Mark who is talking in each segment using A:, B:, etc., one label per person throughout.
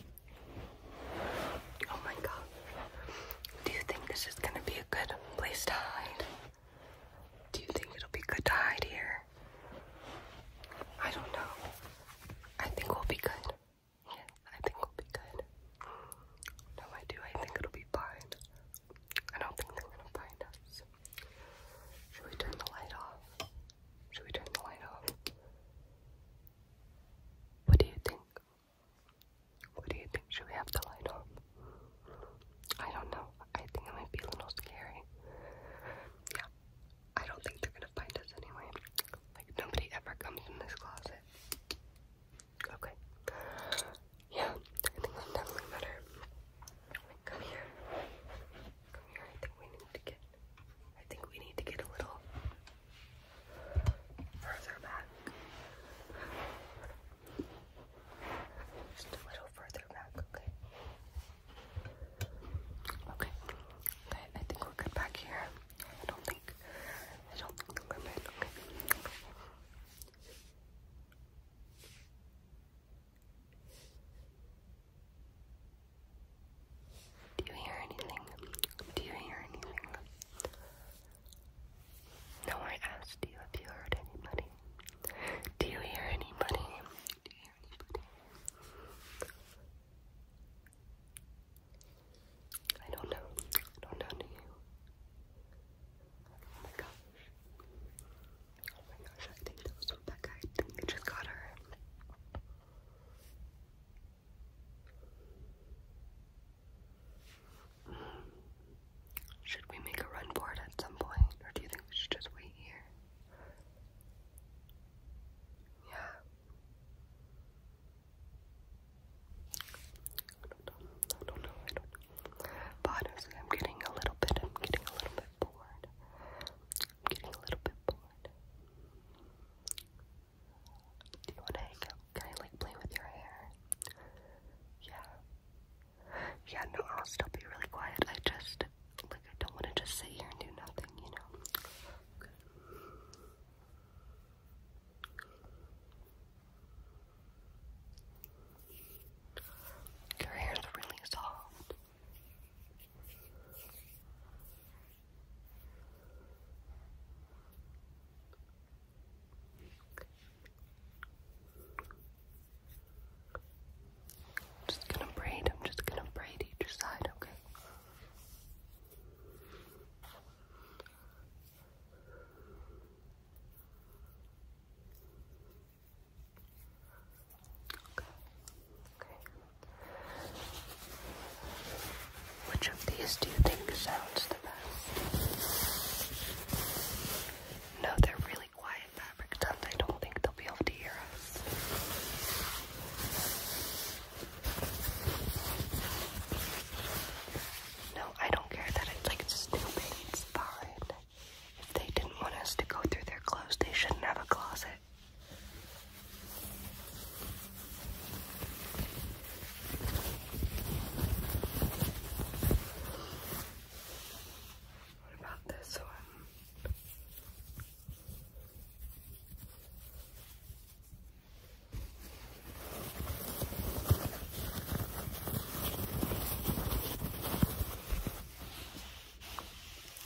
A: Oh my god. Do you think this is gonna be a good place to hide? Do you think it'll be good to hide here? I don't know. I think we'll be good. Yes, I think we'll be good. No, I do. I think it'll be fine. I don't think they're gonna find us. Should we turn the light off? Should we turn the light off? What do you think? What do you think? Should we have the light on? I don't know. I think it might be a little scary. Yeah. I don't think they're gonna find us anyway. Like nobody ever comes in this closet. Okay. Yeah, I think that's definitely better. Come here. Come here. I think we need to get I think we need to get a little further back. Just a little further back, okay? Okay. Okay, I think we're good back here. I don't think I don't think the limit, okay. Do you hear anything? Do you hear anything? No, I asked you if you heard anybody. Do you hear anybody? Do you hear anybody? I don't know. I don't know do you. Oh my gosh. Oh my gosh, I think that was Rebecca. I think they just got her. Should we make a run for it at some point, or do you think we should just wait here? Yeah. I don't know, I I don't know. I'm getting a little bit, I'm getting a little bit bored. I'm getting a little bit bored. Do you want to hang out? Can I like play with your hair? Yeah. Yeah, no, I'll still be really quiet. I just, like, I don't want to just sit here and do nothing, you know? Okay. Your hair's really soft. I'm just gonna braid, I'm just gonna braid each side, Okay. Which of these do you think sounds the best? No, they're really quiet fabric sounds. I don't think they'll be able to hear us. No, I don't care that it's like it's stupid. If they didn't want us to go through their clothes, they shouldn't have a closet. What about this one?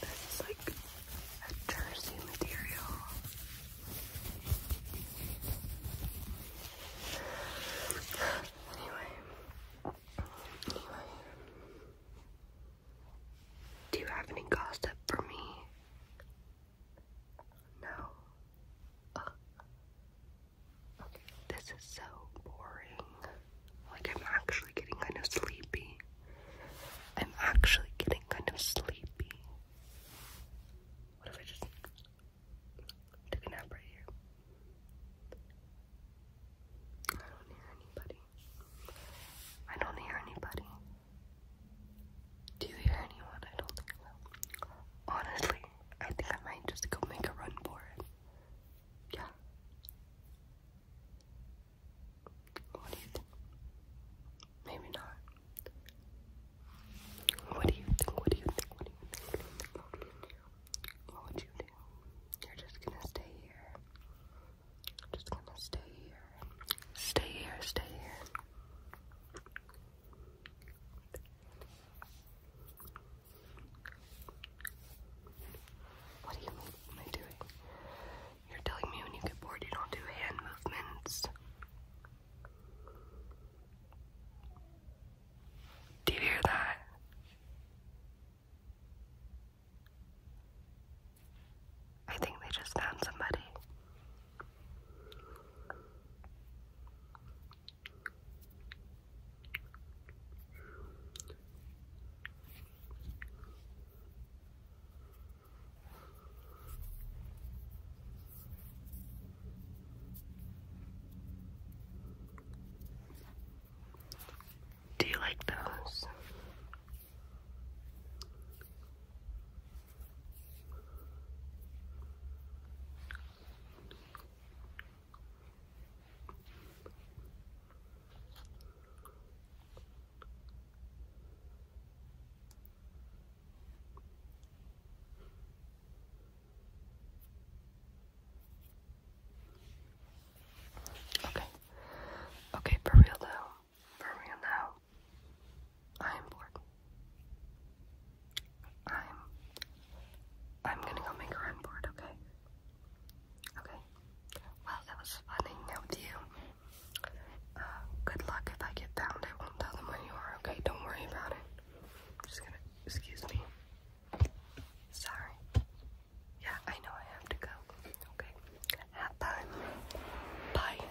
A: This is like a jersey material. anyway. Anyway. Do you have any gossip for me? No. This is so boring. Like, I'm actually getting kind of sleepy. I'm actually getting kind of sleepy. What if I just took a nap right here? I don't hear anybody. I don't hear anybody. Do you hear anyone? I don't think so. Honestly, I think I might just go make a run for it. Yeah. What do you think? Maybe not. What do you think? What do you think? What do you think? What, would you do? You're just gonna stay here. just gonna stay here. Stay here, stay here. What do you mean? am I doing? You're telling me when you get bored you don't do hand movements. Do you hear that? I think they just found somebody. Do you like those? Okay. Okay, for real though. For real now. I'm bored. I'm I'm gonna go make a run board, okay? Okay. Well it was fun hanging out with you. Uh, good luck if I get found. I won't tell them where you are, okay? Don't worry about it. just gonna excuse me. Sorry. Yeah, I know I have to go. Okay. Have fun. Bye.